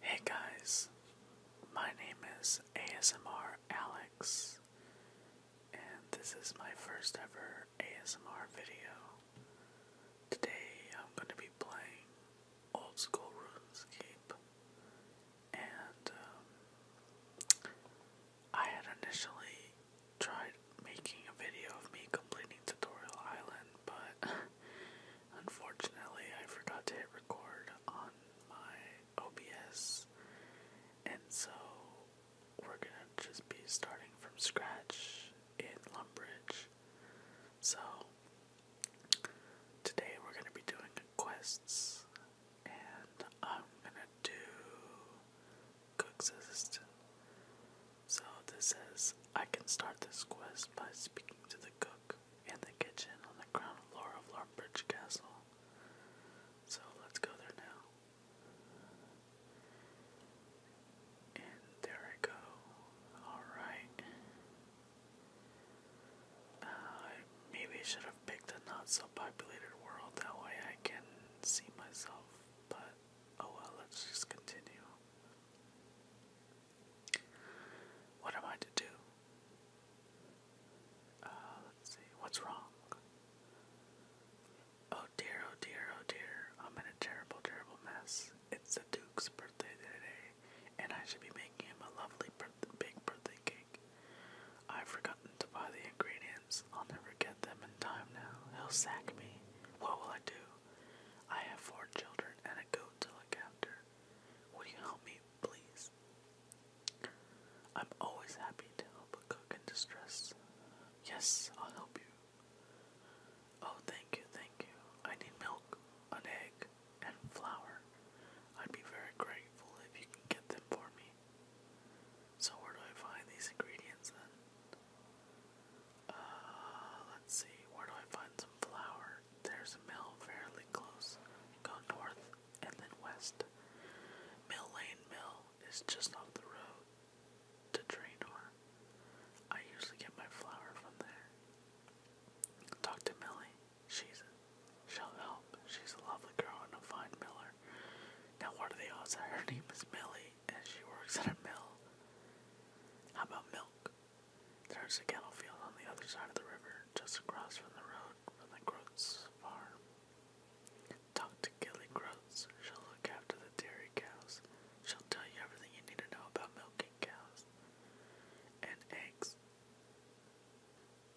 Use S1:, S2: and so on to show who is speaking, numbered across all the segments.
S1: Hey guys, my name is ASMR Alex, and this is my first ever ASMR video. Today I'm going to be playing Old School RuneScape, and um, I had initially tried making a video of me completing Tutorial Island, but Unfortunately, I forgot to hit record on my OBS, and so we're gonna just be starting from scratch in Lumbridge. So, today we're gonna be doing quests, and I'm gonna do Cook's Assistant. So this says I can start this quest by speaking to the cook in the kitchen on the ground floor of Larbridge Castle. So let's go there now. And there I go. Alright. Uh, maybe I should have picked a not so populated world, that way I can see myself, but oh well, let's just continue. What am I to do? Uh, let's see. What's wrong? Oh dear, oh dear, oh dear. I'm in a terrible, terrible mess. It's the Duke's birthday today, and I should be making him a lovely big birthday cake. I've forgotten to buy the ingredients. I'll never get them in time now. He'll sack me. What will I do? I have four children and a goat to look after. Would you help me, please? I'm always happy to help a cook in distress. Yes, I'll help you. Oh, thank you, thank you. I need milk, an egg, and flour. I'd be very grateful if you can get them for me. So, where do I find these ingredients then? Uh, let's see, where do I find some flour? There's a mill fairly close. Go north and then west. Mill Lane Mill is just off the road to Draenor. I usually get my flour from there. Talk to Millie. she'll help. She's a lovely girl and a fine miller. Now what do they all say? her name is Millie? and she works at a mill. How about milk? There's a cattle field on the other side of the river, just across from the road from the Groats farm. Talk to Gilly Groats. She'll look after the dairy cows. She'll tell you everything you need to know about milking cows. And eggs.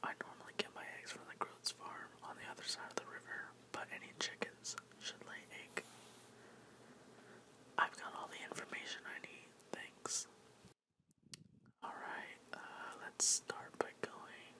S1: I normally get my eggs from the Groats farm on the other side of the river, but any chickens should lay egg. I've got all the information I need. Thanks. Alright, uh, let's start by going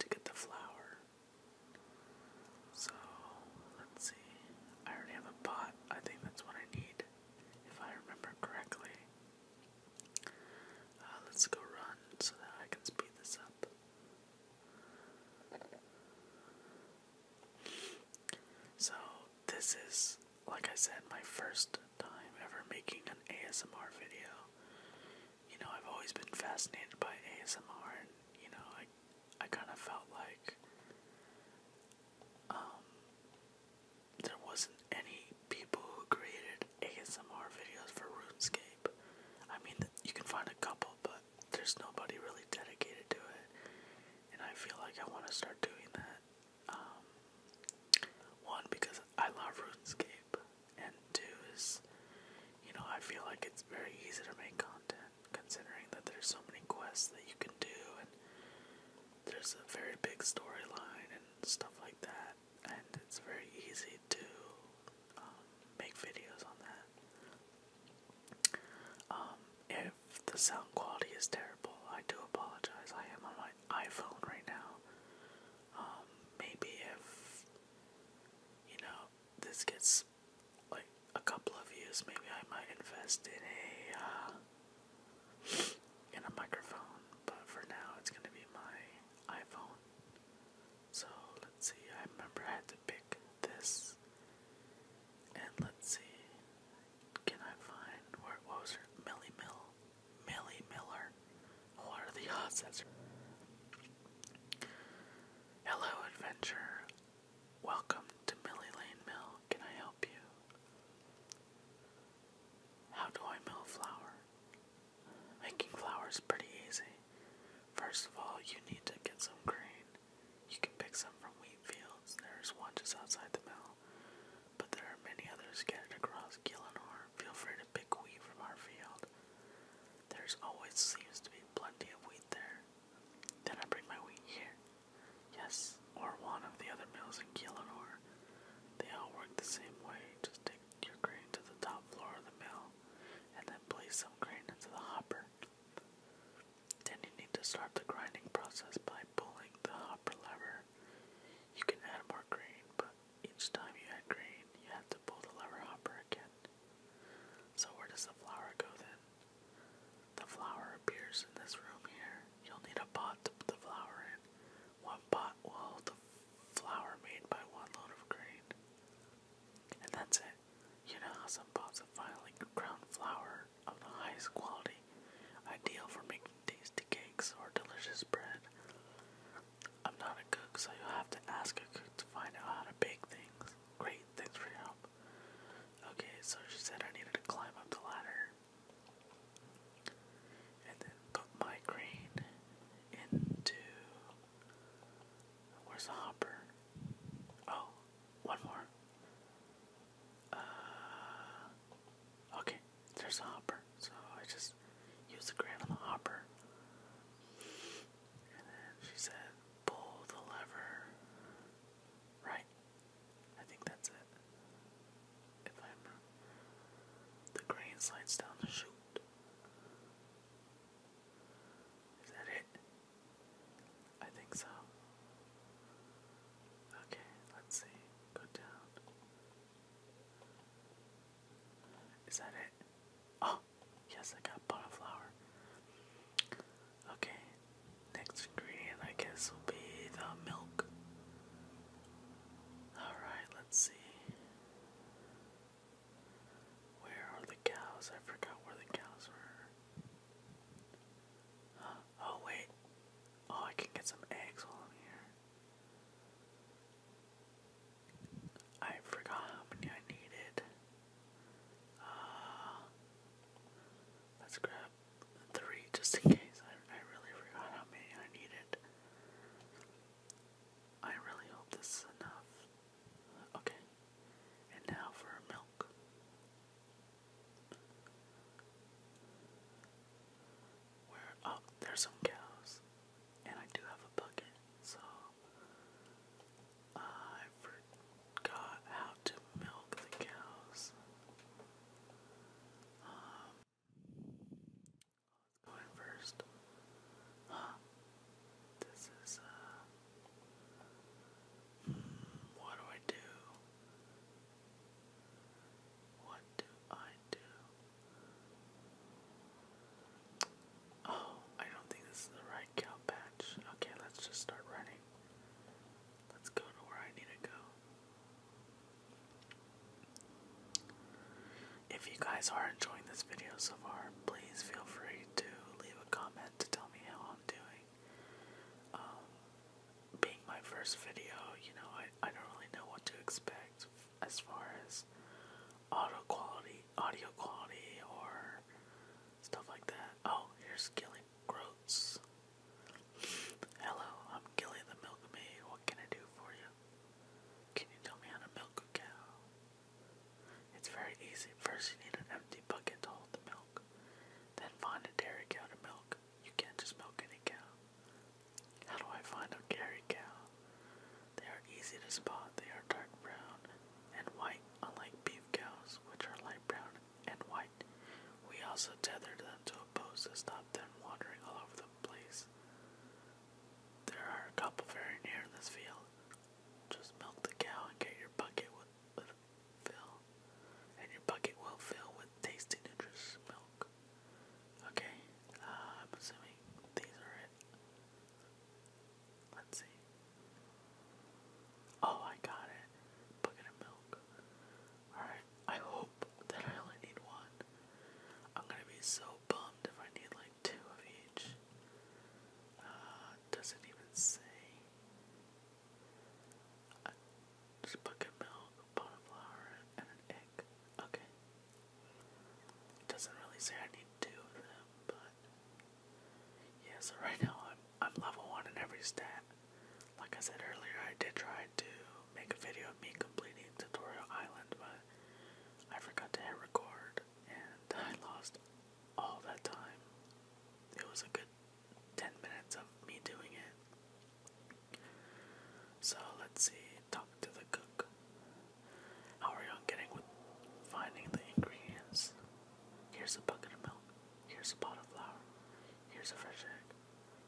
S1: to get the flour. So, let's see. I already have a pot. I think that's what I need, if I remember correctly. Uh, let's go run so that I can speed this up. So, this is, like I said, my first time ever making an ASMR video. You know, I've always been fascinated by ASMR, and, you know, I, I kind of felt like um, there wasn't any people who created ASMR videos for RuneScape. I mean, you can find a couple, but there's nobody really dedicated to it, and I feel like I want to start doing that. Um, one because I love RuneScape, and two is, you know, I feel like it's very easy to make content considering that there's so many quests that you can do, and there's a very big storyline and stuff like that, and it's very easy to um, make videos on that. Um, if the sound quality is terrible, I do apologize. I am on my iPhone right now. Um, maybe if you know this gets like a couple of views, maybe I might invest in a uh, in a microphone. But for now, it's gonna be my iPhone. So let's see. I remember I had to to pick this. And let's see. Can I find where what was her Millie Mill? Millie Miller. What are the odds that's her? Hello adventure. Welcome to Millie Lane Mill. Can I help you? How do I mill flour? Making flour is pretty easy. First of all, you need to get some grain. You can pick some from wheat fields. There's one just outside the mill, but there are many others scattered across Gillinor. Feel free to pick wheat from our field. There's always seems to be plenty of wheat there. Then I bring my wheat here. Yes, or one of the other mills in Gillinor. They all work the same way. Just take your grain to the top floor of the mill and then place some grain into the hopper. Then you need to start the grinding process by pulling the hopper lever. You can add more grain, but each time you add grain, you have to pull the lever hopper again. So, where does the flour go then? The flour appears in this room here. You'll need a pot to put the flour in. One pot will hold the flour made by one load of grain. And that's it. You know how some pots of finely ground flour of the highest quality, ideal for making tasty cakes or delicious bread. I'm not a cook, so you'll have to ask a cook to find out how to bake things. Great, thanks for your help. Okay, so she said I needed to climb up the ladder. And then put my grain into Where's the hopper? Oh, one more. Uh, okay, there's a hopper. So I just use the grain on the hopper. And then she said, pull the lever. Right. I think that's it. If I'm the grain slides down the chute. Is that it? I think so. Okay, let's see. Go down. Is that it? Oh, yes, I got pot Okay, next ingredient I guess will be the milk. Alright, let's see. Where are the cows? I forgot where the cows were. Oh, wait. Oh, I can get some eggs while here. I forgot how many I needed. Ah. let's grab three just in case. I really forgot how many I needed. I really hope this is enough. Okay. And now for milk. Where oh, there's some cows. And I do have a bucket, so I forgot how to milk the cows. Um, What's going first? This is, uh. Hmm, what do I do? What do I do? Oh, I don't think this is the right cow patch. Okay, let's just start running. Let's go to where I need to go. If you guys are enjoying this video so far, please feel free to leave a comment to tell me how I'm doing. Um, being my first video, you know, I, I don't really know what to expect as far as audio quality, audio quality, or stuff like that. Oh, here's Gilly Groats. Hello, I'm Gilly the Milkmaid. What can I do for you? Can you tell me how to milk a cow? It's very easy. First, you need an empty bucket to hold the milk. Then find a dairy cow to milk. You can't just milk any cow. How do I find a dairy cow? They are easy to spot. They are dark brown and white, unlike beef cows, which are light brown and white. We also tether them to a post to stop them wandering all over the place. There are a couple very near in this field. Just milk the cow and get your bucket with, with fill, and your bucket will fill with tasty, nutritious milk. Okay, uh, I'm assuming these are it. Let's see. Oh, I got it. Bucket of milk. Alright, I hope that I only need one. I'm gonna be so bummed if I need like two of each. Uh, does it even say? just bucket milk, a pot of flour, and an egg. Okay. It doesn't really say I need two of them, but yeah. So right now I'm I'm level one in every stat. Like I said earlier, I did try to make a video of me completing Tutorial Island, but I forgot to hit record and I lost all that time. It was a good 10 minutes of me doing it. So let's see, talk to the cook. How are you on getting with finding the ingredients? Here's a bucket of milk, here's a pot of flour, here's a fresh egg.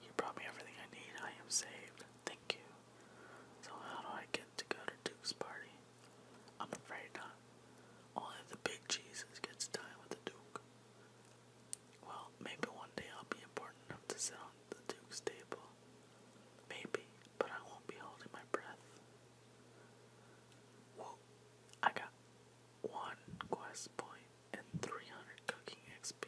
S1: You brought me everything I need, I am saved. Thank you. So how do I get to go to Duke's party? I'm afraid not. Only the big Jesus gets time with the Duke. Well, maybe one day I'll be important enough to sit on the Duke's table. Maybe, but I won't be holding my breath. Whoa, I got one quest point and 300 cooking XP.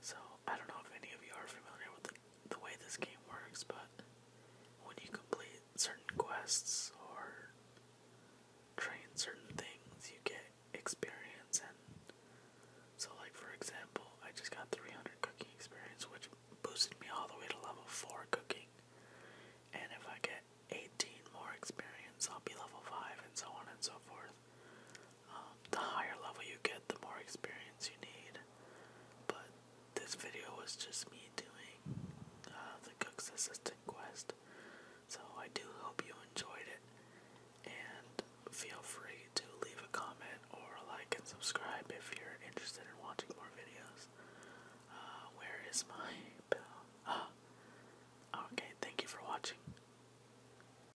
S1: So, I don't know if any of you are familiar with the, way this game works, but when you complete certain quests or train certain things, you get experience. And so, like, for example, I just got 300 cooking experience, which boosted me all the way to level 4 cooking. And if I get 18 more experience, I'll be level 5, and so on and so forth the higher level you get, the more experience you need. But this video was just me doing uh, the Cook's Assistant quest. So I do hope you enjoyed it. And feel free to leave a comment or like and subscribe if you're interested in watching more videos. Uh, where is my bell? Ah, okay, thank you for watching.